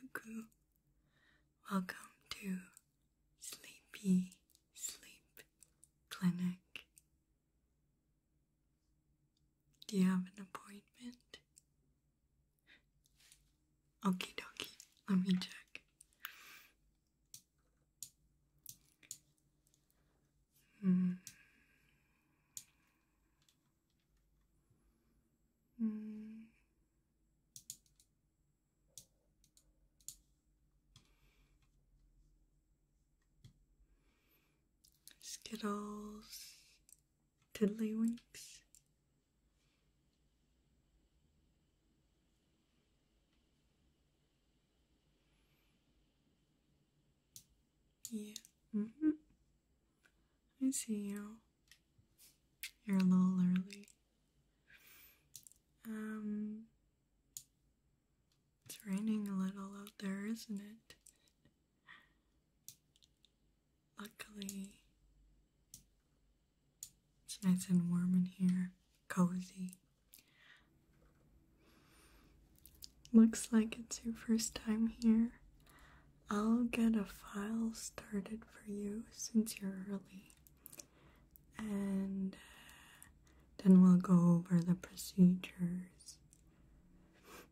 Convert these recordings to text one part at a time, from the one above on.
Cuckoo, welcome to Sleepy Sleep Clinic. Do you have an appointment? Okie dokie, let me check. Hmm. Hmm. Skittles, Tiddlywinks. Yeah. Mm -hmm. I see you. You're a little early. Um, it's raining a little out there, isn't it? Luckily, it's nice and warm in here, cozy. Looks like it's your first time here. I'll get a file started for you since you're early. And uh, then we'll go over the procedures.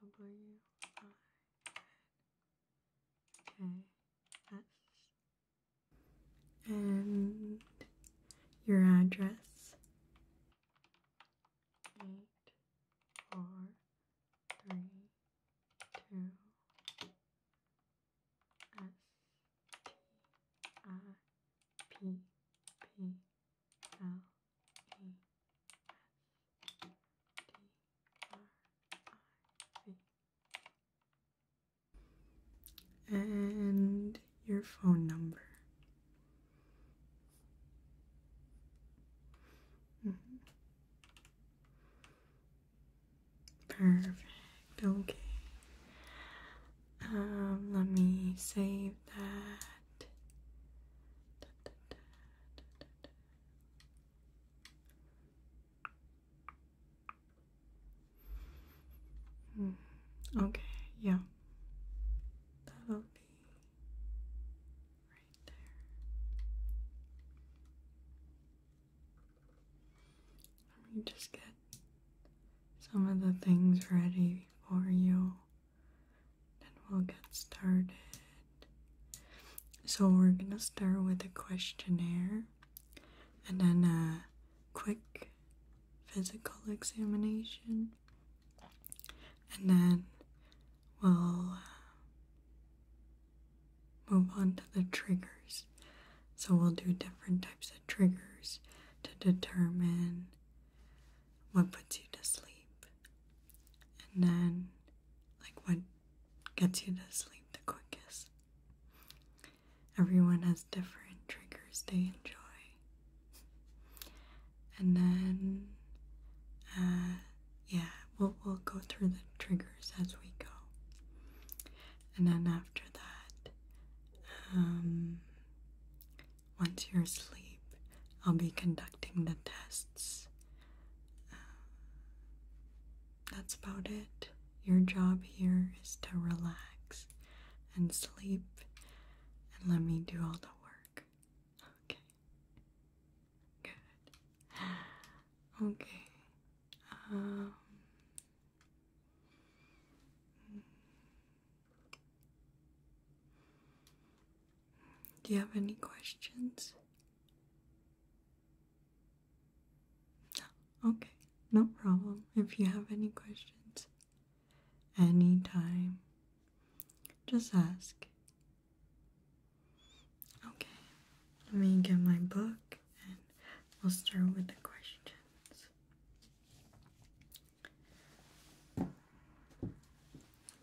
W I N K S. And your address. Eight, four, three, two, S T I P P L. And your phone number. Mm-hmm. Perfect. Okay. Um, let me save that. Mm, okay, yeah. That'll be right there. Let me just get some of the things ready for you then we'll get started. So, we're gonna start with a questionnaire and then a quick physical examination, and then we'll uh, move on to the triggers. So, we'll do different types of triggers to determine what puts you to sleep, and then like what gets you to sleep the quickest? Everyone has different triggers they enjoy. And then, uh, yeah, we'll, go through the triggers as we go. And then after that, um, once you're asleep, I'll be conducting the tests um, that's about it. Your job here is to relax and sleep and let me do all the work. Okay. Good. Okay. Um, do you have any questions? Okay, no problem. If you have any questions, anytime, just ask. Okay, let me get my book and we'll start with the questions.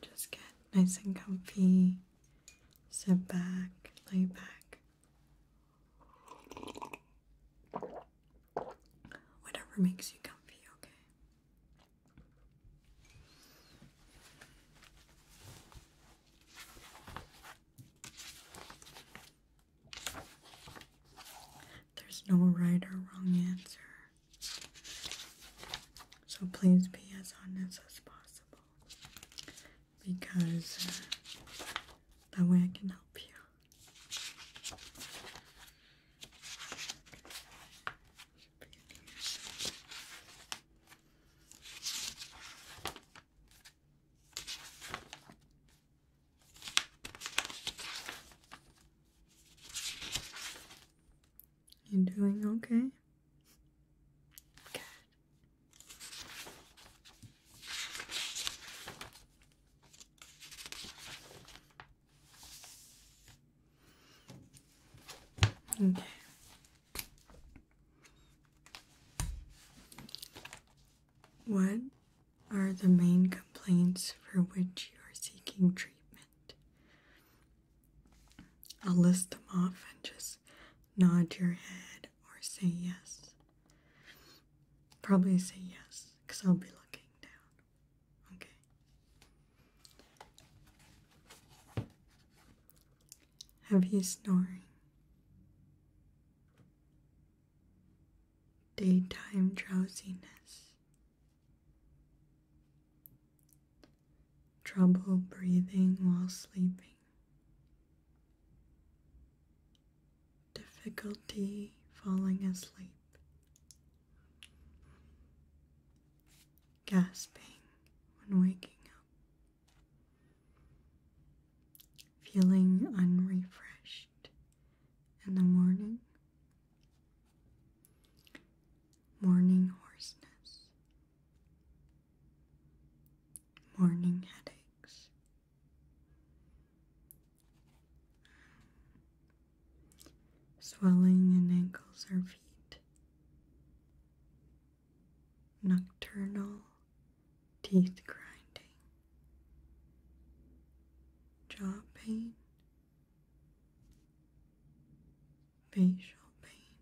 Just get nice and comfy sit back, lay back. Whatever makes you comfy, okay? There's no right or wrong answer. So please be as honest as possible because uh, that way I can help you. You doing okay? Good. Okay. What are the main complaints for which you are seeking treatment? I'll list them off and just nod your head or say yes. Probably say yes because I'll be looking down. Okay. Have snoring? Daytime drowsiness trouble breathing while sleeping, difficulty falling asleep, gasping when waking up, feeling unrefreshed in the morning, morning hoarseness morning headaches. Swelling in ankles or feet, nocturnal teeth grinding, jaw pain, facial pain,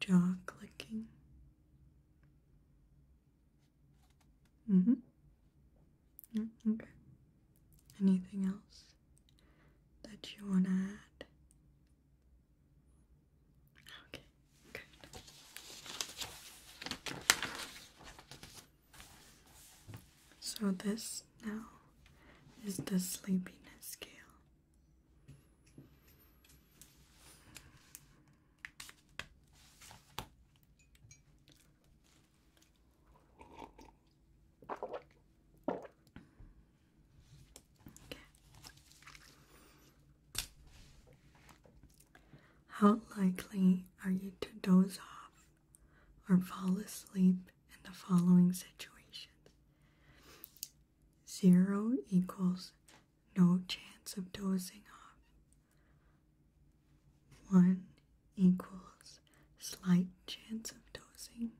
jaw clicking. Mm hmm. okay. Anything else that you want to add? Okay, good. So, this now is the sleepiness scale. How likely are you to doze off or fall asleep in the following situations: zero equals no chance of dozing off, one equals slight chance of dozing,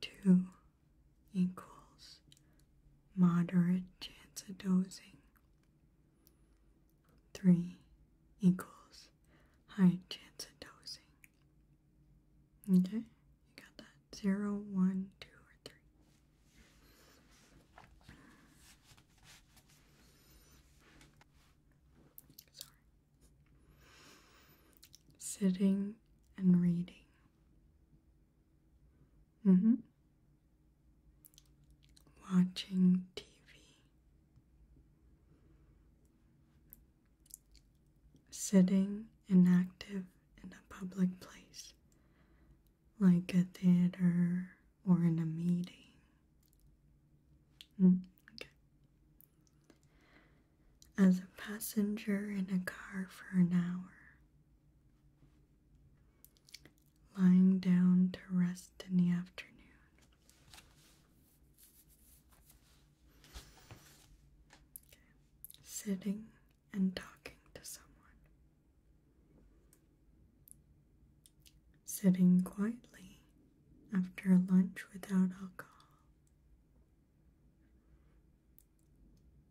two equals moderate chance of dozing, three equals high chance of dozing. Okay, you got that. Zero, one, two, or three. Sorry. Sitting and reading. Mm hmm. Watching TV. Sitting inactive in a public place, like a theater or in a meeting. Hmm, As a passenger in a car for an hour, lying down to rest in the afternoon. Sitting and talking to someone. Sitting quietly after lunch without alcohol.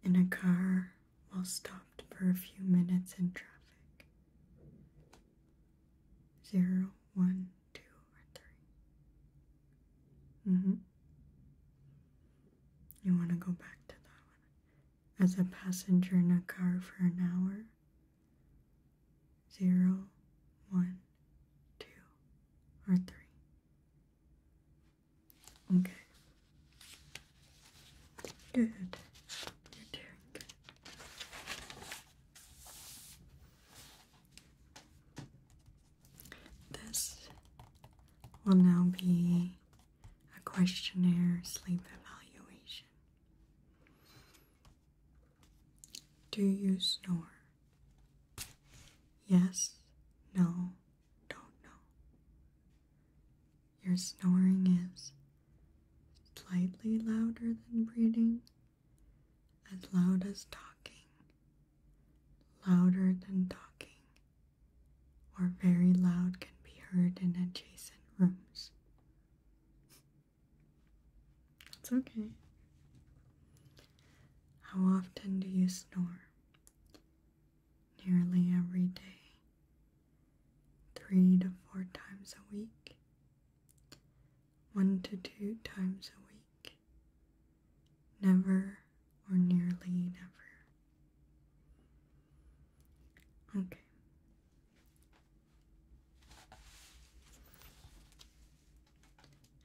In a car while stopped for a few minutes in traffic. Zero, one, two, or three. Mm hmm. You want to go back to that one? As a passenger in a car for an hour? Zero, one, two, or three. Okay. Good. You're doing good. This will now be a questionnaire sleep evaluation. Do you snore? Yes, no, don't know. Your snoring is slightly louder than breathing, as loud as talking, Louder than talking or very loud can be heard in adjacent rooms. That's okay. How often do you snore? Nearly every day, three to four times a week, one to two times a week never or nearly never. Okay.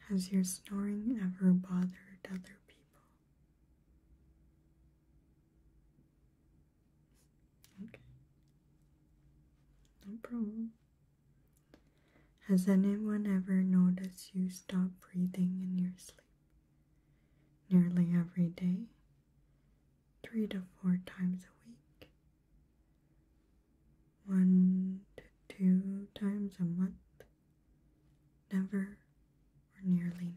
Has your snoring ever bothered other people? Okay. No problem. Has anyone ever noticed you stop breathing in your sleep? Nearly every day, three to four times a week, one to two times a month, never or nearly never.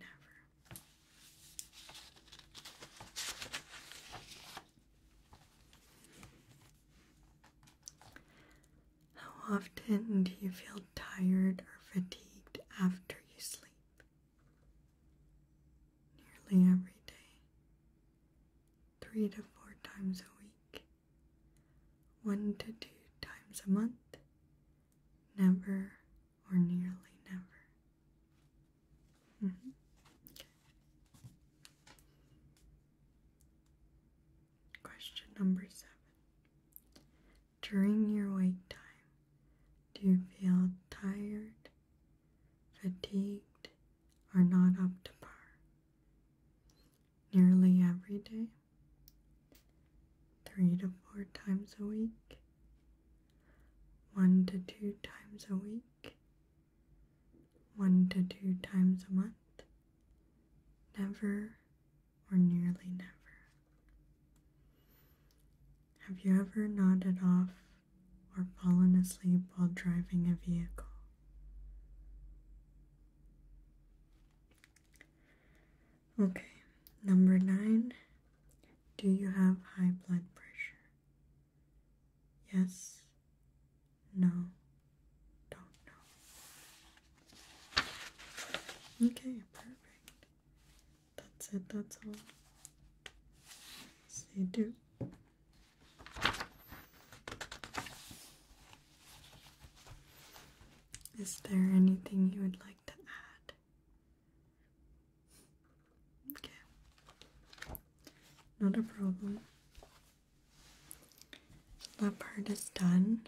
How often do you feel tired or fatigued after you sleep? Nearly every day, three to four times a week, one to two times a month, never or nearly never. Mm-hmm. Question number seven. During your wake time, do you feel tired, fatigued, or not up to par? Nearly every day, three to four times a week, one to two times a week, one to two times a month, never or nearly never. Have you ever nodded off or fallen asleep while driving a vehicle? Okay, number nine. Do you have high blood pressure? Yes, no, don't know. Okay, perfect. That's it, that's all. See you. do. Is there anything you would like to add? Okay. Not a problem. That part is done.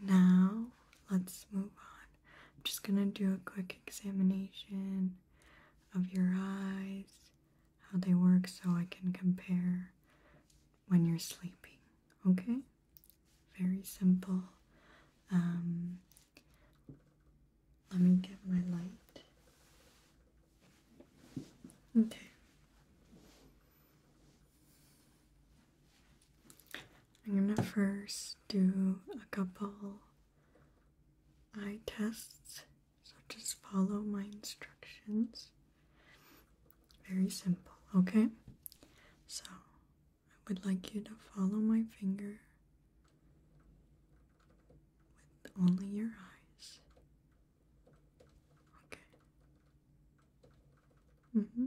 Now, let's move on. I'm just going to do a quick examination of your eyes, how they work, so I can compare when you're sleeping. Okay? Very simple. Um, let me get my light. Okay. I'm gonna first do a couple eye tests, so just follow my instructions. Very simple, okay? So I would like you to follow my finger with only your eyes. Okay. Mm hmm.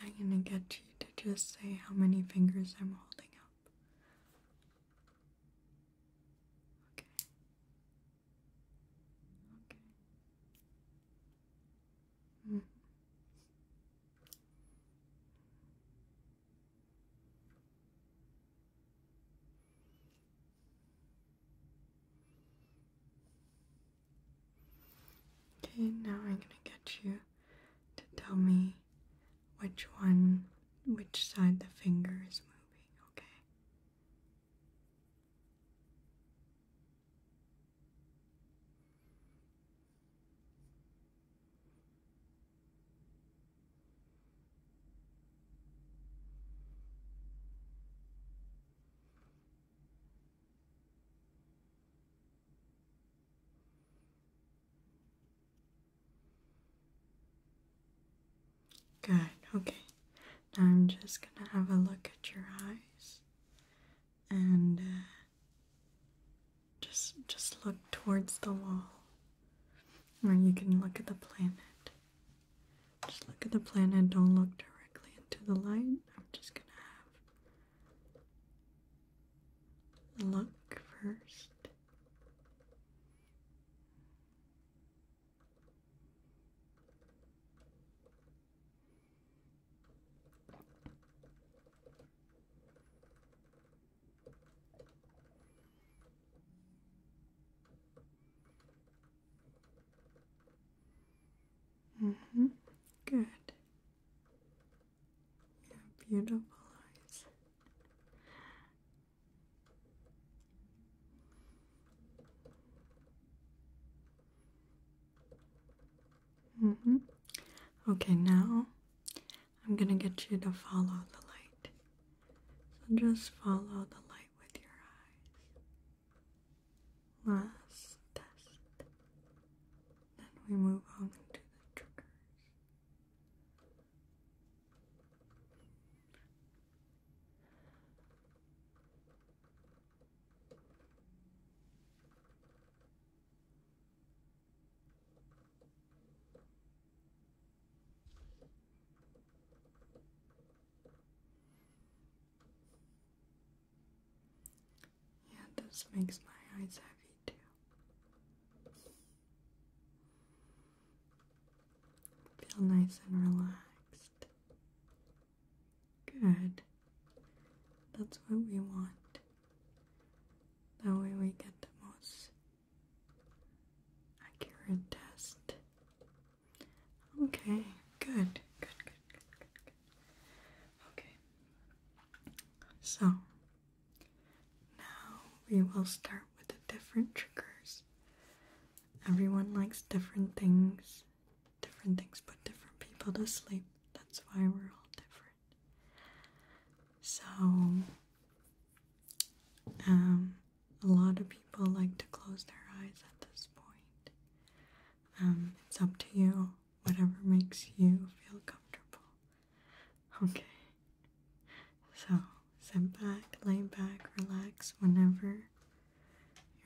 I'm gonna get you to just say how many fingers I'm holding up. Okay. Okay. Mm. Okay, now I'm gonna get you to tell me which one, which side the finger is moving, okay? Good, okay. Now I'm just gonna have a look at your eyes and uh, just just look towards the wall. Or you can look at the planet. Just look at the planet, don't look directly into the light. I'm just gonna have look first. Mm-hmm. Good. Your beautiful eyes. -hmm. Okay, now I'm gonna get you to follow the light. So just follow the light with your eyes. Last test. Then we move on to the triggers. Yeah, this makes my eyes heavy too. Feel nice and relaxed. Good. That's what we want. That way we get the most accurate test. Okay, good, good, good, good, good, good. Okay. So now we will start with the different triggers. Everyone likes different things. Different things put different people to sleep. That's why we're all different. So um a lot of people like to close their eyes at this point. Um, it's up to you whatever makes you feel comfortable. Okay. So sit back, lay back, relax whenever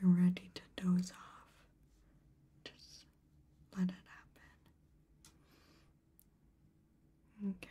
you're ready to doze off. Just let it happen. Okay.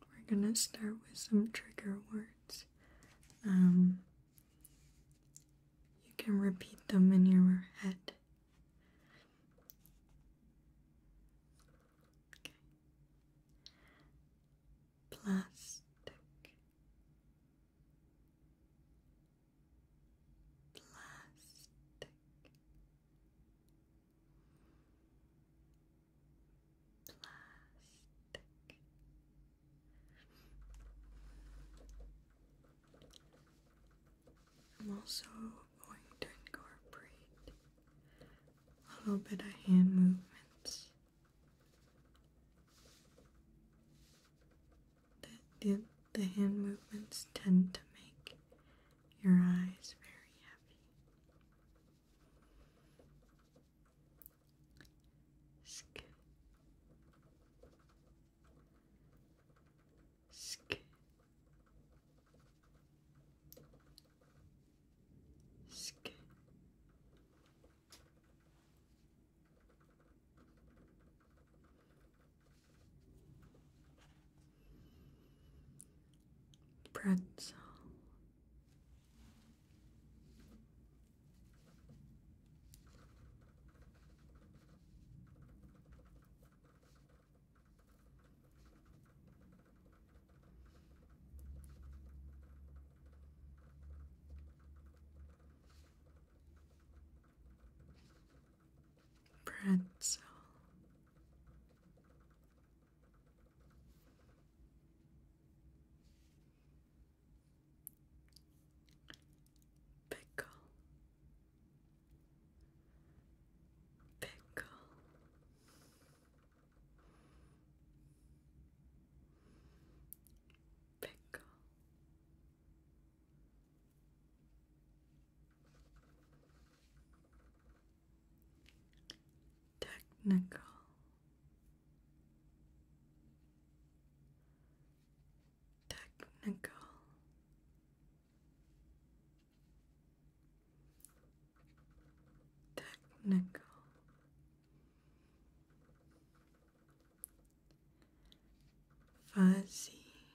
we're gonna start with some trigger words. Um, you can repeat them in your head. Okay. Plastic. Plastic plastic. I'm also going to incorporate a little bit of hand movements the, the, hand movements tend to make your eyes very heavy Sk. Sk. Sk. Pretzel pretzel Pickle. Pickle. Pickle. Technical technical technical fuzzy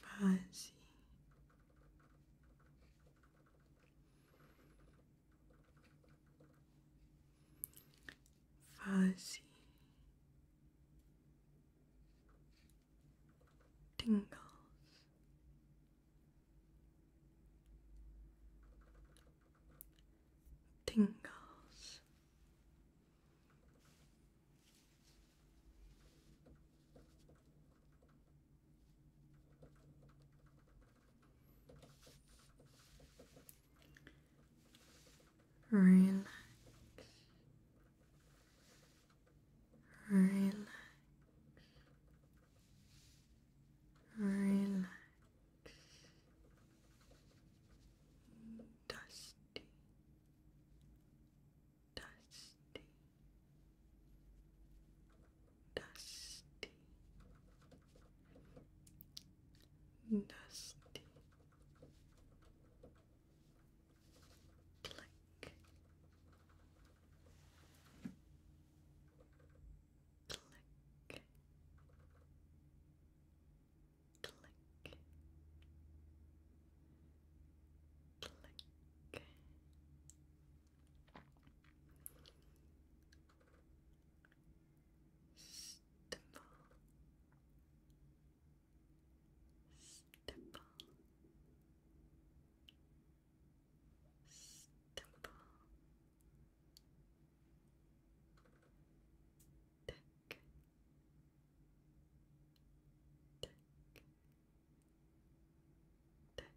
fuzzy fuzzy, tingles, tingles. Relax. Relax. Relax. Dusty. Dusty. Dusty, dusty, click, click, click, click. Stipple. Stipple. Stipple. Tick. Tick. Tick.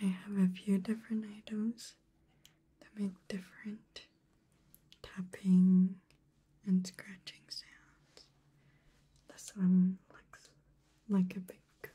I have a few different items that make different tapping and scratching sounds. This one looks like a big cookie.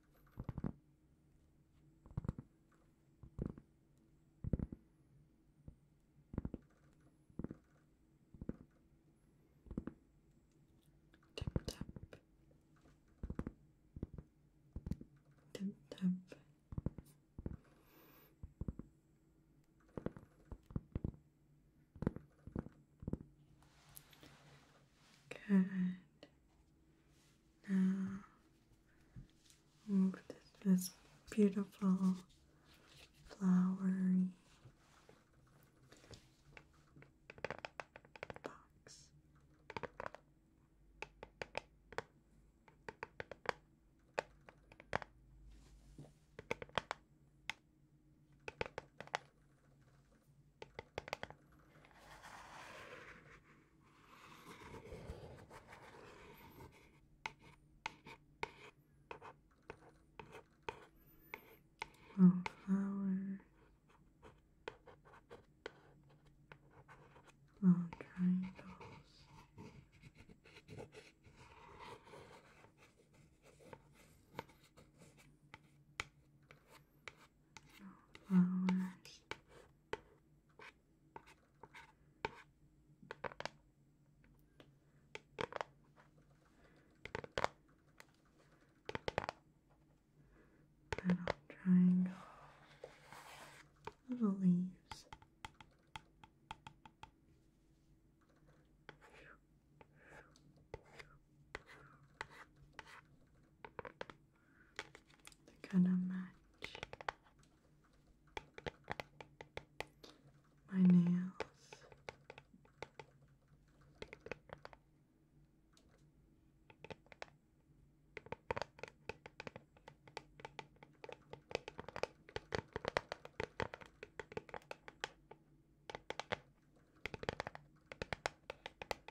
Tip tap. Tip tap. Good. Now move to this beautiful flowery box. Little flower, little triangles flowers. Little triangle, little leaves to kind of match my nails.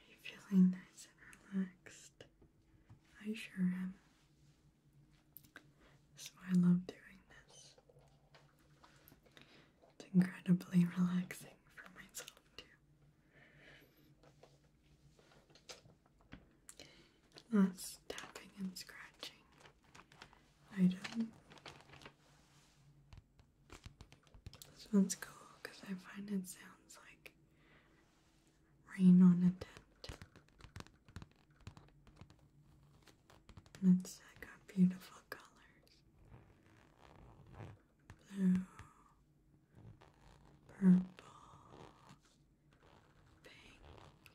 Are you feeling nice and relaxed? I sure am. That's why I love doing this. It's incredibly relaxing for myself, too. That's tapping and scratching I item. This one's cool because I find it sounds like rain on a tent. And it's got beautiful colors. Blue, purple, pink,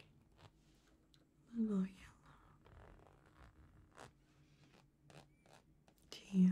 little yellow, teal.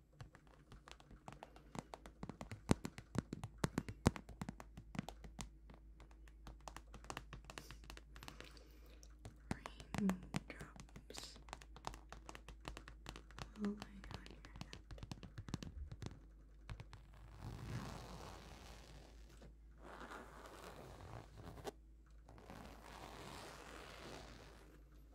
Raindrops falling on your head. Raindrops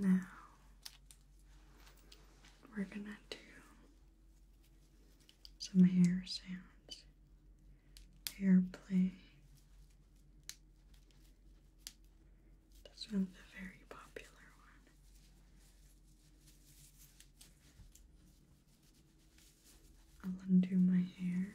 Now we're going to do some hair sounds, hair play. That's not a very popular one. I'll undo my hair.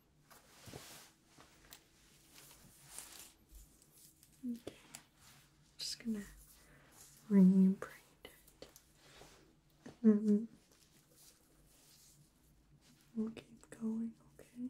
Okay. Just gonna rebraid it. And mm-hmm. we'll keep going, okay?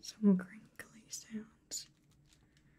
Some crinkly sounds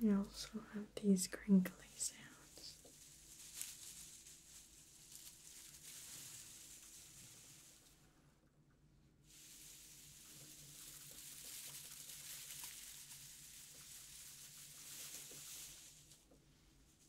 Mm-hmm. We also have these crinkly sounds.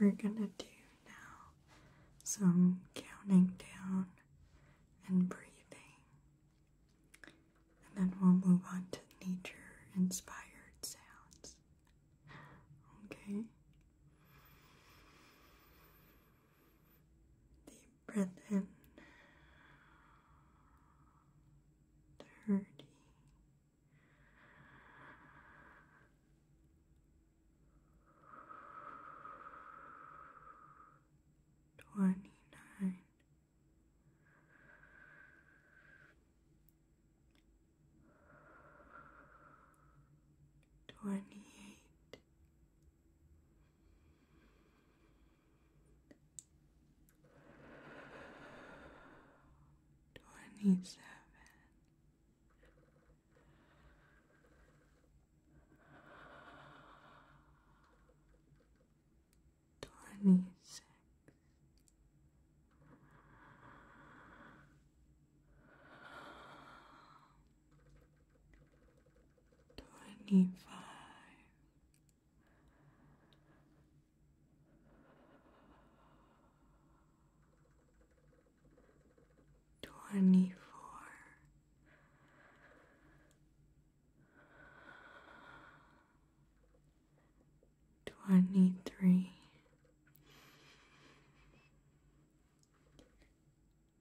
We're gonna do now some counting down and breathing, and then we'll move on to nature inspired sounds. Okay? breath in. Thirty. Twenty nine, twenty eight, Twenty-seven. Twenty-six. Twenty-five, twenty-four, twenty-three.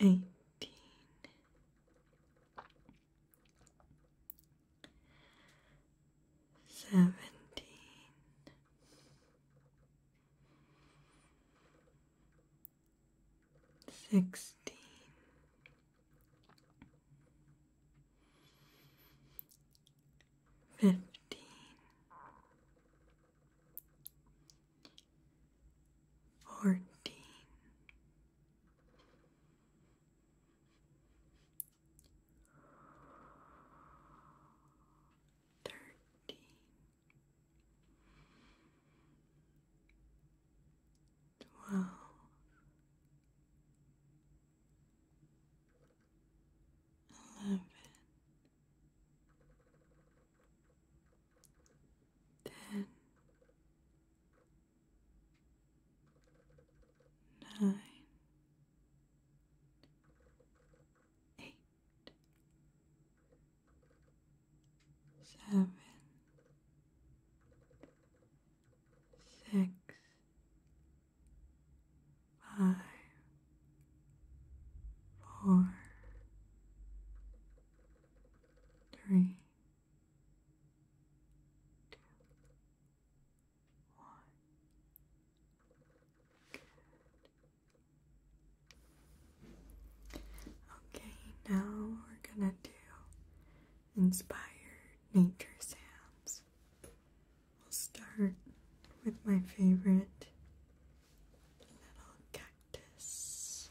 eighteen, seventeen. Sixteen, fifteen, fourteen, thirteen, twelve eleven, ten, nine, eight, seven, six five, four, three, two, one. Okay, now we're gonna do inspired nature sounds we will start with my favorite little cactus.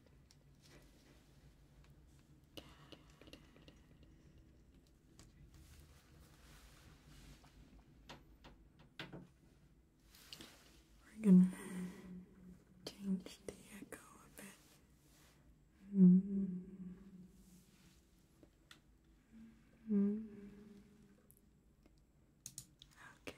We're gonna change the echo a bit. -hmm. -hmm. Okay.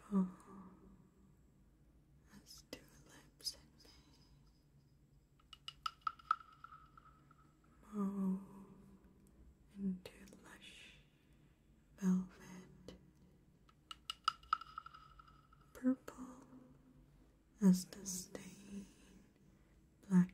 Purple as tulips in May, mauve into lush velvet, purple as the stained blackberries.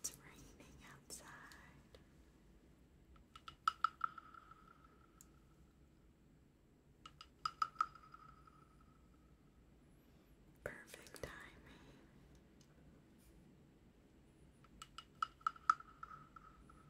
It's raining outside. Perfect timing.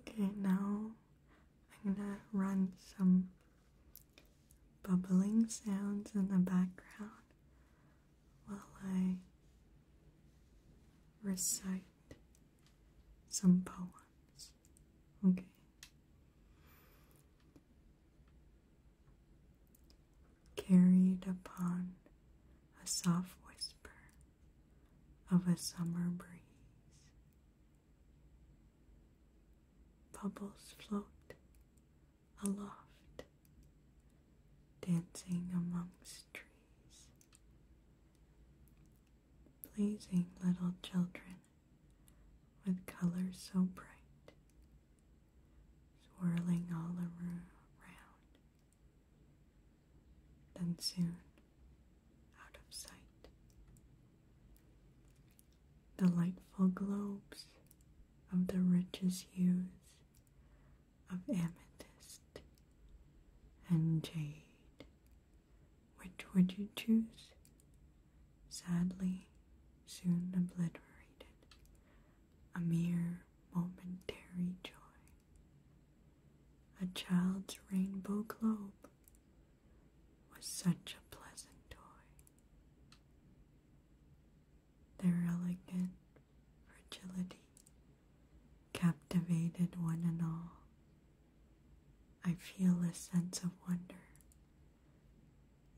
Okay, now I'm gonna run some bubbling sounds in the background while I recite some poems. Okay. Carried upon a soft whisper of a summer breeze. Bubbles float aloft, dancing amongst trees, pleasing little children with colors so bright, swirling all around, then soon out of sight. Delightful globes of the richest hues of amethyst and jade. Which would you choose? Sadly, soon obliterated, a mere momentary joy. A child's rainbow globe was such a pleasant toy. Their elegant fragility captivated one and all. I feel a sense of wonder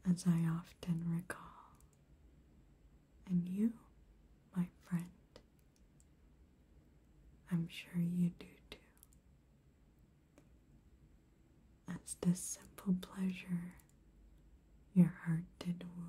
as I often recall. And you, my friend, I'm sure you do too as the simple pleasure your heart did woo.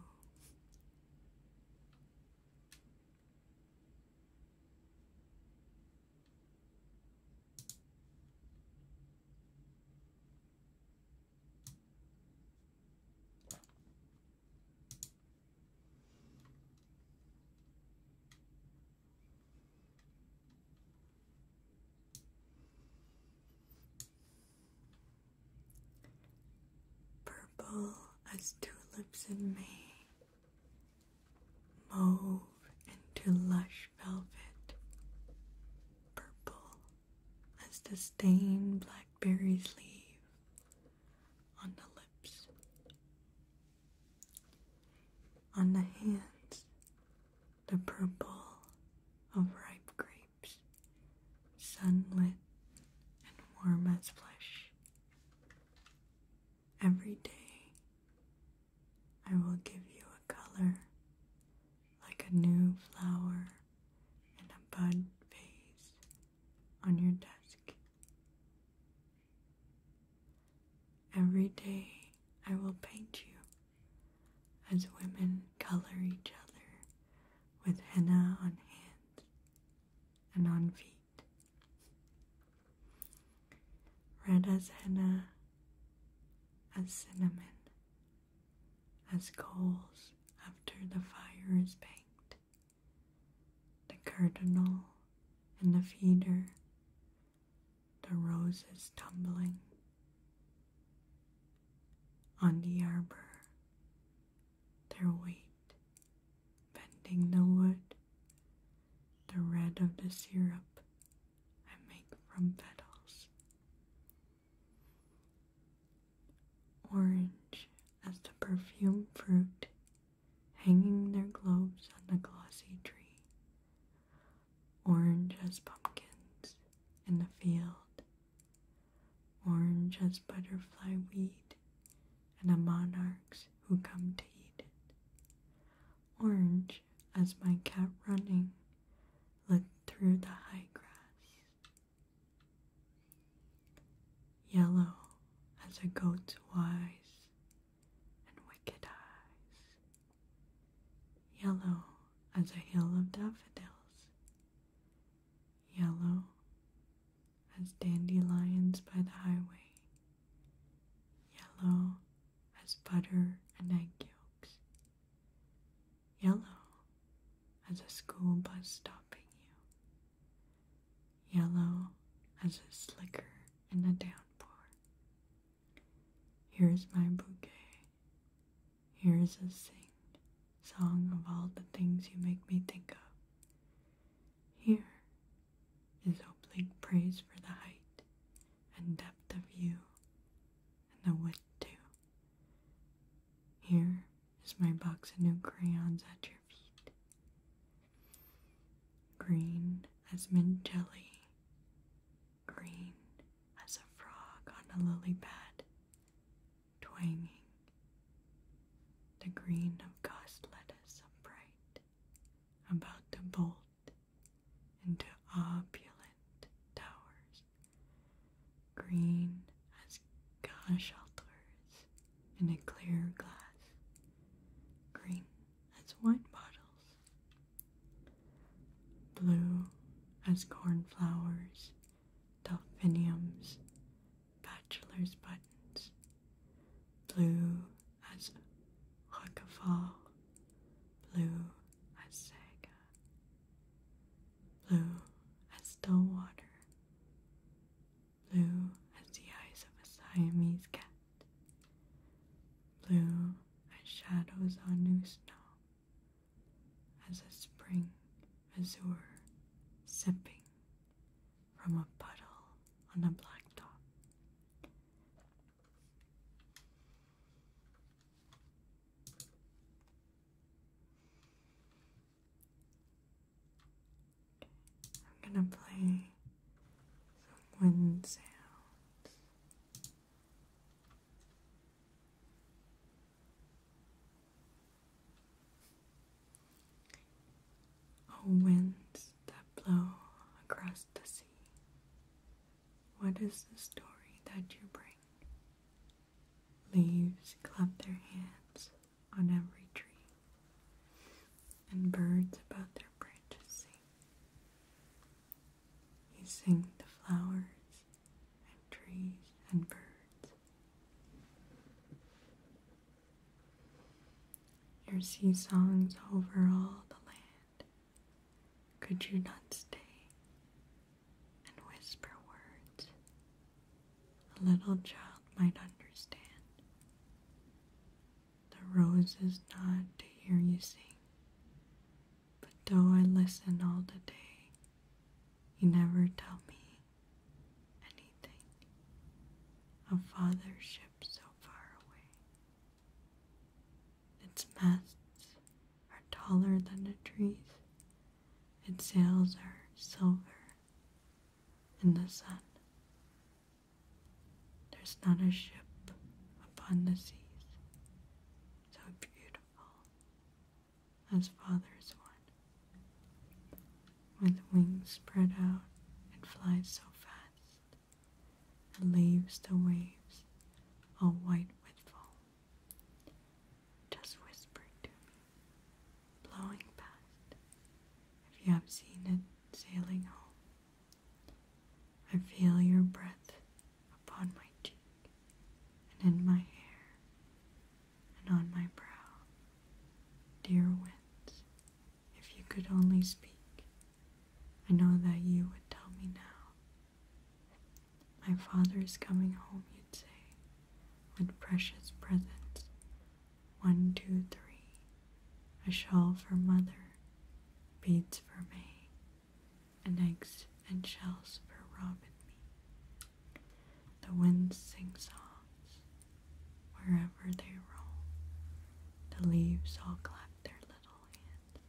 Purple as tulips in May, mauve into lush velvet, purple as the stained blackberry's leaf on the lips, on the hands, the purple of ripe grapes sunlit and warm as flesh. Every day I will give you a color like a new flower in a bud vase on your desk. Every day I will paint you as women color each other with henna on hands and on feet. Red as henna, as cinnamon, as coals after the fire is banked. The cardinal and the feeder, the roses tumbling, on the arbor, their weight bending the wood, the red of the syrup I make from petals, orange as the perfume fruit hanging their globes on the glossy tree, orange as pumpkins in the field orange as butterfly weed, and a monarch's who come to eat it. Orange as my cat running looked through the high grass. Yellow as a goat's wise and wicked eyes. Yellow as a hill of daffodils yellow as dandelions by the highway, yellow as butter and egg yolks, yellow as a school bus stopping you, yellow as a slicker in a downpour. Here's my bouquet here is a sing song of all the things you make me think of. Here is oblique praise for the height and depth of you and the width too. Here is my box of new crayons at your feet. Green as mint jelly, green as a frog on a lily pad, twanging. The green of gauze lettuce upright, about to bolt into opulent towers, green as gauze shelters in a clear glass, green as wine bottles, blue as cornflowers delphiniums, bachelor's buttons, blue as roquefort, blue as saga, blue as still water, blue as the eyes of a Siamese cat, blue as shadows on new snow, as a spring azure sipping from a puddle on a blacktop. I'm gonna play some wind sounds. Oh, winds that blow across the sea, what is the story that you bring? Leaves clap their hands on every tree, and birds about their branches sing. You sing the flowers and trees and birds. Your sea songs over all the land. Could you not stay and whisper words a little child might understand? The roses nod to hear you sing. But though I listen all the day, you never tell me anything of ship so far away. Its masts are taller than the trees, its sails are silver in the sun. There's not a ship upon the seas so beautiful as father's one. With wings spread out, it flies so fast, and leaves the waves all white with foam. Just whispering to me, blowing past, if you have seen it sailing home. I feel your breath upon my cheek and in my hair, and on my brow. Dear winds, if you could only speak, I know that you would tell me now. My father is coming home, you'd say, with precious presents. One, two, three, a shawl for mother, beads for me, and eggs and shells for Robin me. The winds sing songs wherever they roll. The leaves all clap their little hands.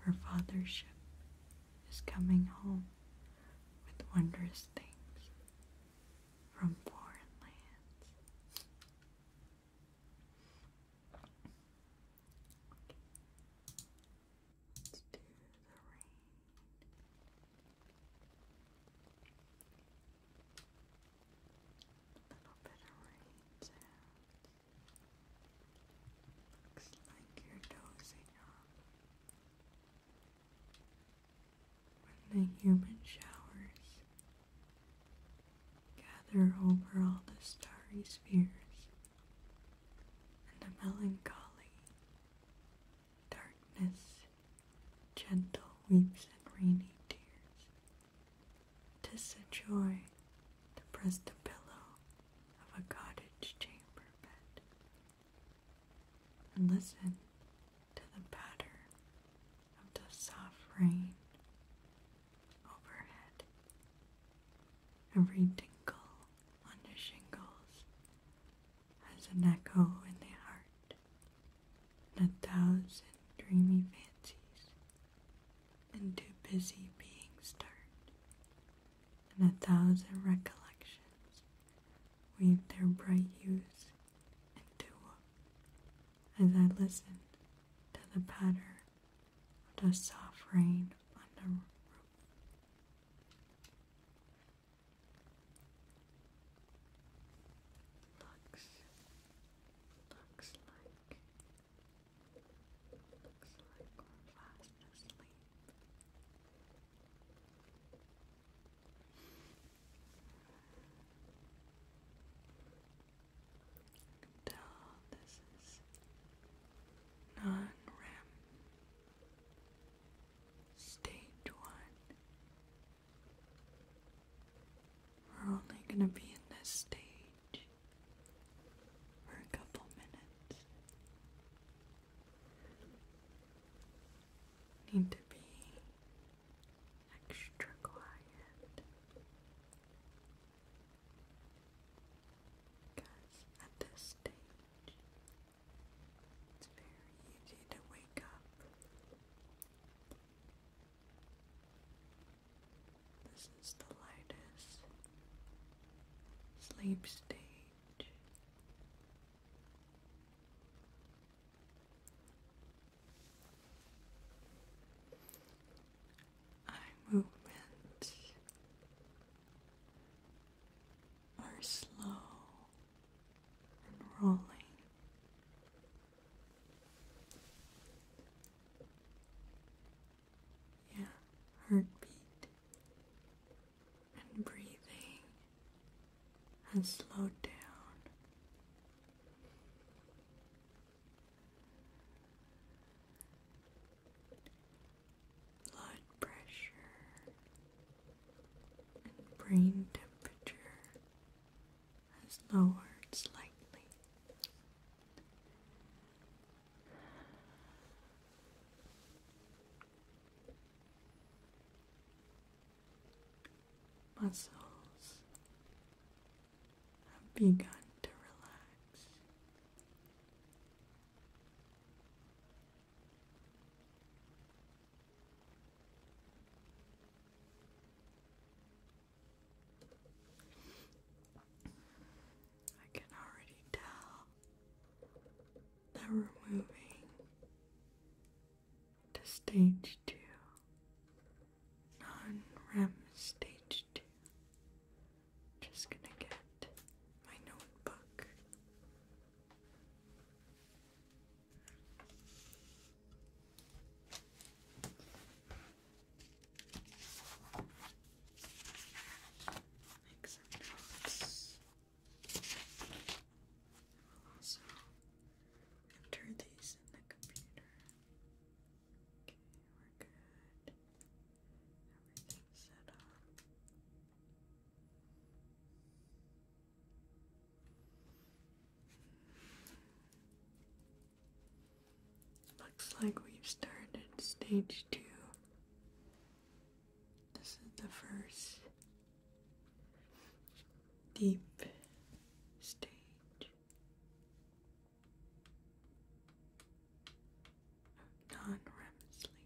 Her father's ship is coming home with wondrous things from foreign lands. Okay. Let's do the rain. A little bit of rain Looks like you're dozing off. When the human showers gather over all the starry spheres, and the melancholy Darkness, gentle weeps and rainy tears. 'Tis a joy to press the pillow of a cottage chamber bed and listen to the patter of the soft rain overhead. Every tinkle on the shingles as an echo in the heart, and a thousand dreamy fancies, and too busy being stirred, and a thousand recollections weave their bright hues into as I listen to the patter of the soft rain on the roof. Looks, looks like, looks like we're fast asleep. I can tell this is non-REM. Stage one. We're only going to be in this stage for a couple minutes. Need to be extra quiet because at this stage it's very easy to wake up. This is the lightest sleep stage. Eye movements are slow rolling. Yeah, heartbeat and breathing and slowed down. Blood pressure and brain temperature has lowered slightly. Muscles have begun to relax. I can already tell that we're moving to stage two, non REM stage two. Just gonna get my notebook. Make some notes. We'll also enter these in the computer. Okay, we're good. Everything's set up. Looks like we've started stage two. This is the first deep stage. of Non REM sleep.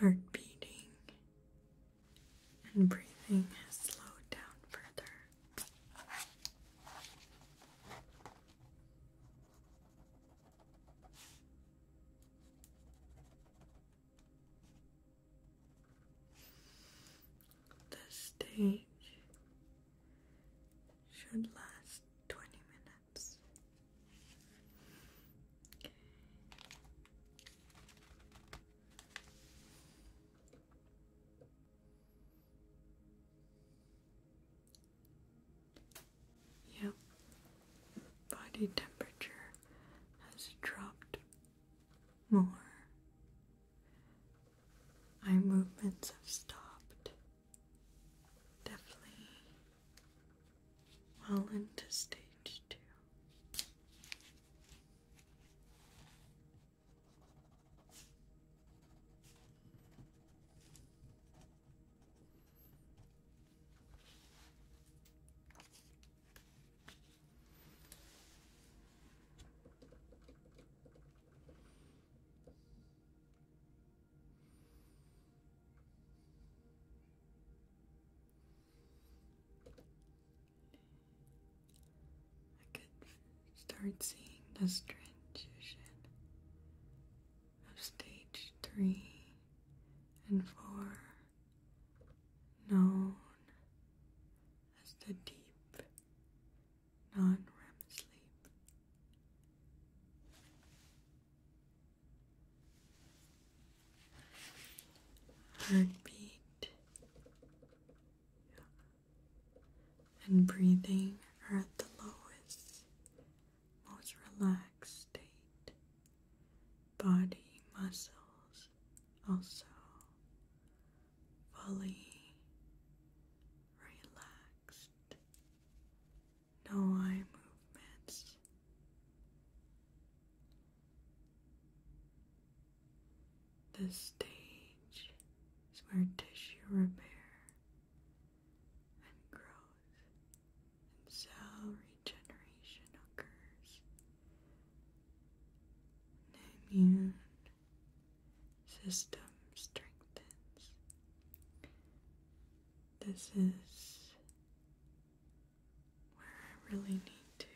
Heart beating and breathing has slowed down further. This stage should last 20 minutes. Yep, body temperature has dropped more. My movements have stopped. Definitely well into stage two. I could start seeing the transition of stage three and four, known as the deep non REM sleep. Heartbeat and breathing are at the lowest, most relaxed state. Body muscles also fully relaxed no eye movements. The stage is where tissue repair and growth and cell regeneration occurs. And immune system strengthens. This is where I really need to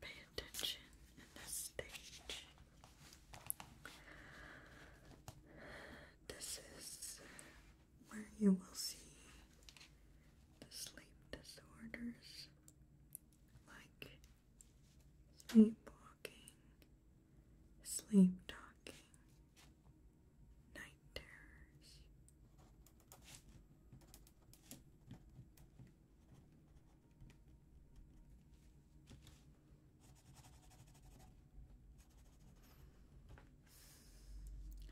pay attention in this stage. This is where you will see the sleep disorders like sleepwalking, sleep talking, night terrors.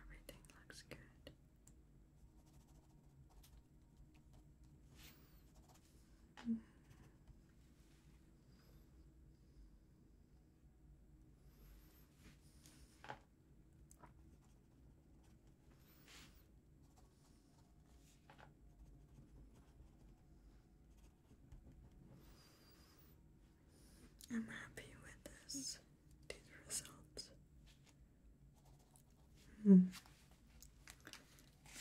Everything looks good. I'm happy with this these results. Hmm.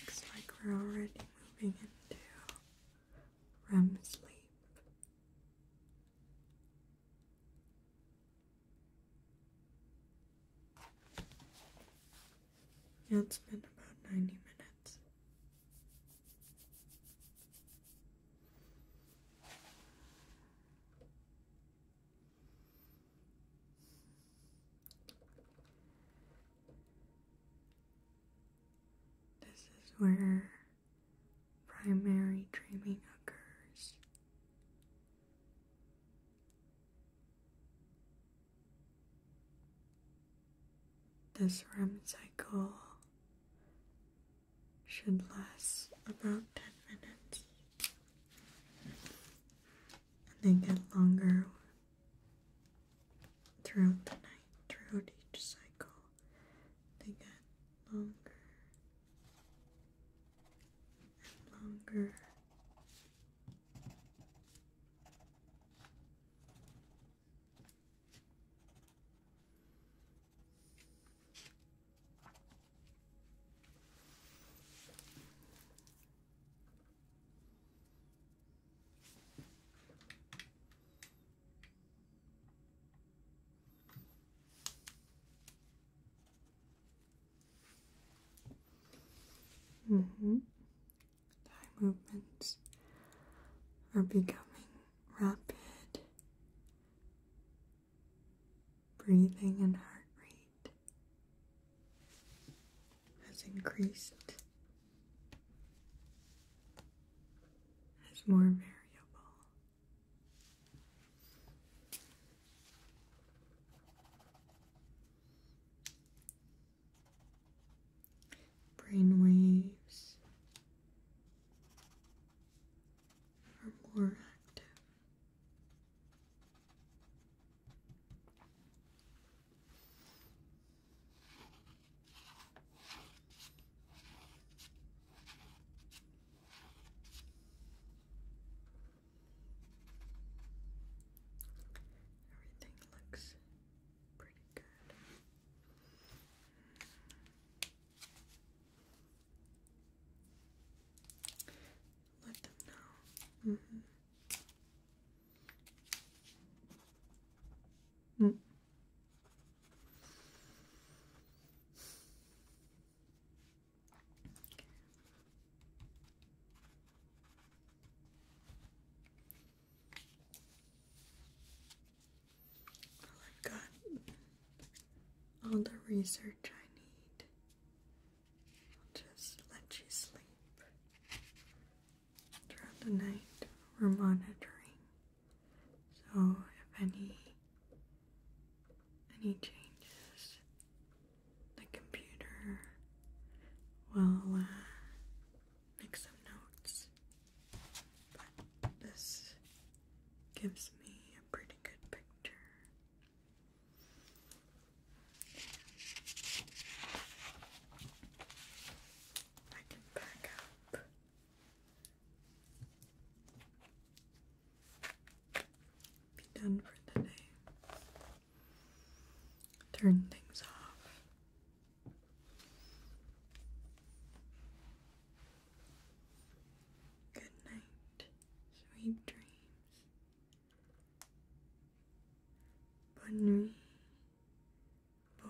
Looks like we're already moving into from sleep. Now it's been about 90 minutes. This is where primary dreaming occurs. This REM cycle should last about 10 minutes and then get longer throughout the night, throughout each cycle, they get longer and longer. -hmm. movements are becoming rapid. Breathing and heart rate has increased it's more variable. Brain waves are more active. Everything looks pretty good. Let them know. Mm-hmm. Mm -hmm i got all the research I need. I'll just let you sleep throughout the night we're monitoring. So if any any changes, the computer will uh, make some notes. But this gives me a pretty good picture. I can back up be done for the day. Turn things off. Good night, sweet dreams. Bonne nuit, beau